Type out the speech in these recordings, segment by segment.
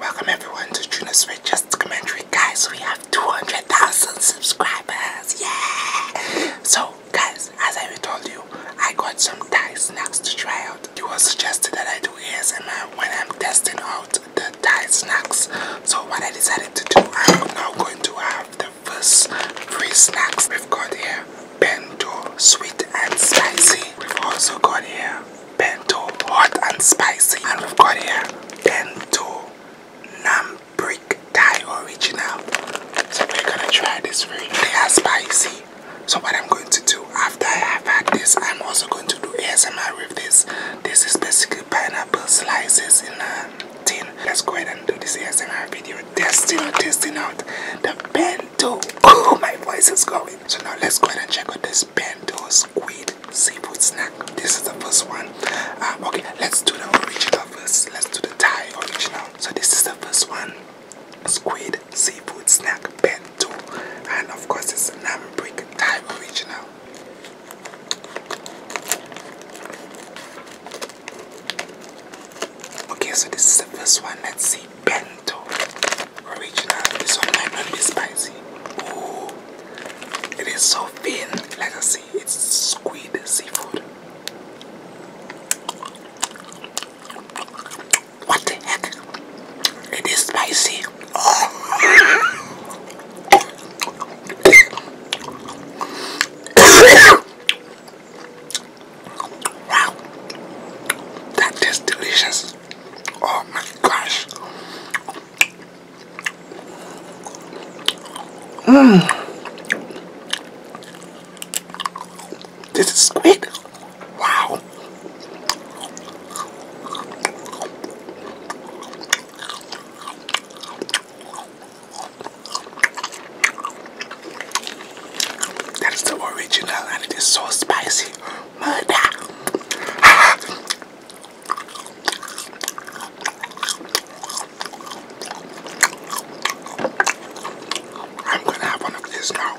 Welcome everyone to Juno's Fit Commentary. Guys, we have 200,000 subscribers. Yeah! So, guys, as I told you, I got some Thai snacks to try out. You were suggested that I do ASMR when I'm testing out the Thai snacks. So what I decided to do, I'm now going to have the first three snacks. We've got here bento, sweet and spicy. We've also got here bento hot and spicy and we've got here bento nam brick thai original so we're gonna try this very they are spicy so what i'm going to do after i have had this i'm also going to do asmr with this this is basically pineapple slices in a tin let's go ahead and do this asmr video testing testing out the bento Oh, my voice is going. So now let's go ahead and check out this bento squid seafood snack. This is the first one. Um, okay, let's do the original first. Let's do the Thai original. So this is the first one. Squid seafood snack bento. And of course it's a Nam Brick Thai original. Okay, so this is the first one. Let's see bento. Original. This one might not be spicy. Ooh. It is so thin. Like I see, it's squid seafood. What the heck? It is spicy. Oh. Wow, that delicious. Oh my gosh. Mmm. This is squid. Wow. That is the original and it is so spicy. I'm gonna have one of these now.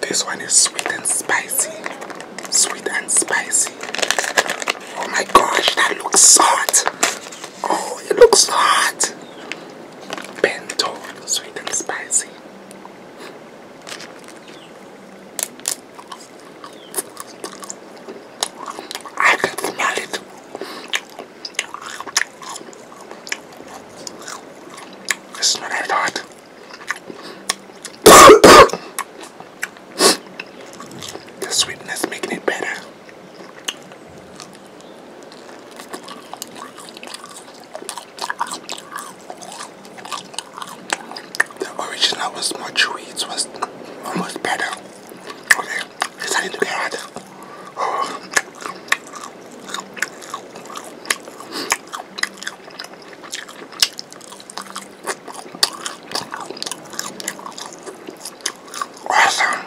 This one is sweet and spicy. Sweet and spicy. Oh my gosh, that looks hot. Oh, it looks hot. Bento, sweet and spicy. I can smell it. It's not that hot. the sweetness making it better. The original was much. chewy, it was almost better. Okay, decided to get out of oh. Awesome,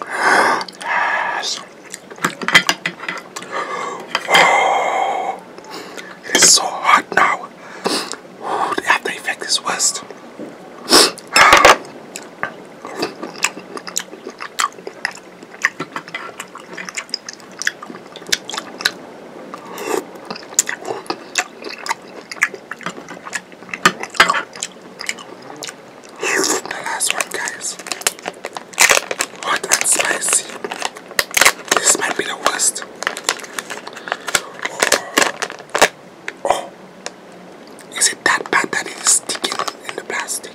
Yes. Oh, it's so hot now. Ooh, they have to affect this west. The last one, guys. Hot spicy. This might be the worst. oh. Is it that bad that it is sticking in the plastic?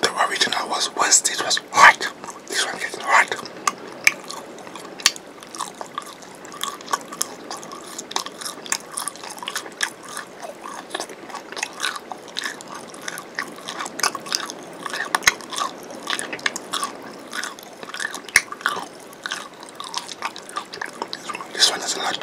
The original was was this was hot. This one is hot. This one, this a lot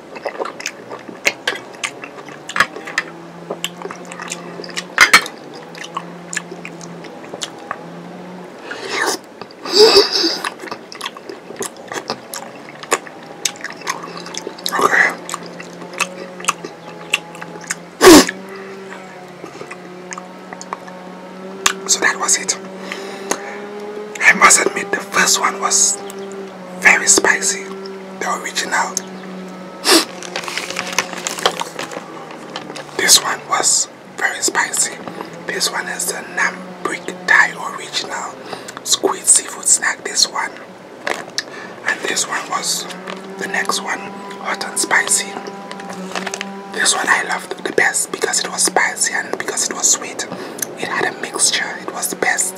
So that was it. I must admit the first one was very spicy. The original. this one was very spicy. This one is the Nam Brick Thai original squid seafood snack. This one. And this one was the next one, hot and spicy. This one I loved the best because it was spicy and because it was sweet. It had a mixture. It was the best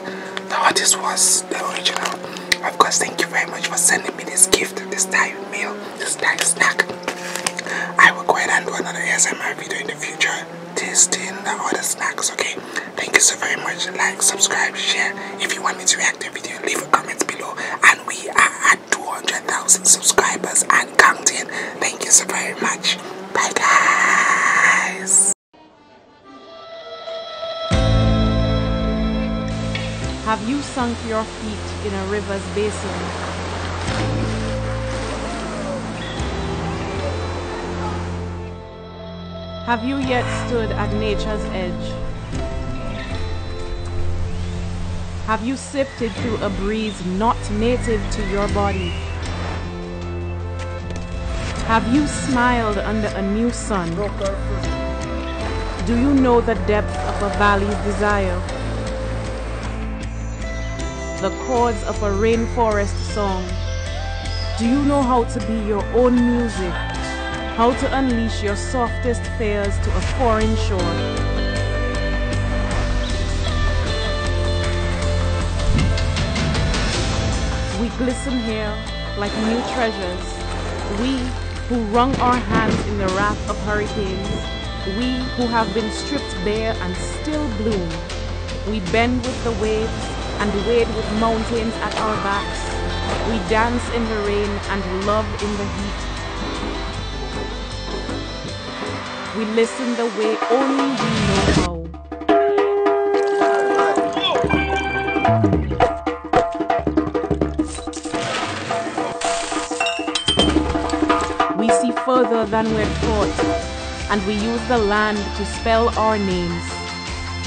artist. was the original. Of course, thank you very much for sending me this gift, this Thai meal, this Thai snack. I will go ahead and do another ASMR video in the future, tasting the other snacks, okay? Thank you so very much. Like, subscribe, share. If you want me to react to a video, leave a comment below. And we are at 200,000 subscribers and counting. Thank you so very much. Bye, guys. Have you sunk your feet in a river's basin? Have you yet stood at nature's edge? Have you sifted through a breeze not native to your body? Have you smiled under a new sun? Do you know the depth of a valley's desire? The chords of a rainforest song? Do you know how to be your own music? How to unleash your softest fears to a foreign shore? We glisten here like new treasures. We who wrung our hands in the wrath of hurricanes. We who have been stripped bare and still bloom. We bend with the waves and wade with mountains at our backs. We dance in the rain and love in the heat. We listen the way only we know We see further than we're taught, and we use the land to spell our names.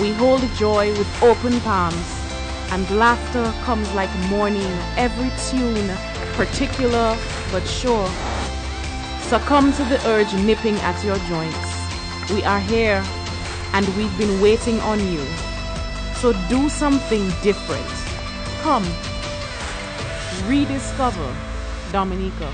We hold joy with open palms, and laughter comes like morning, every tune, particular but sure. Succumb to the urge nipping at your joints. We are here and we've been waiting on you. So do something different. Come, rediscover Dominica.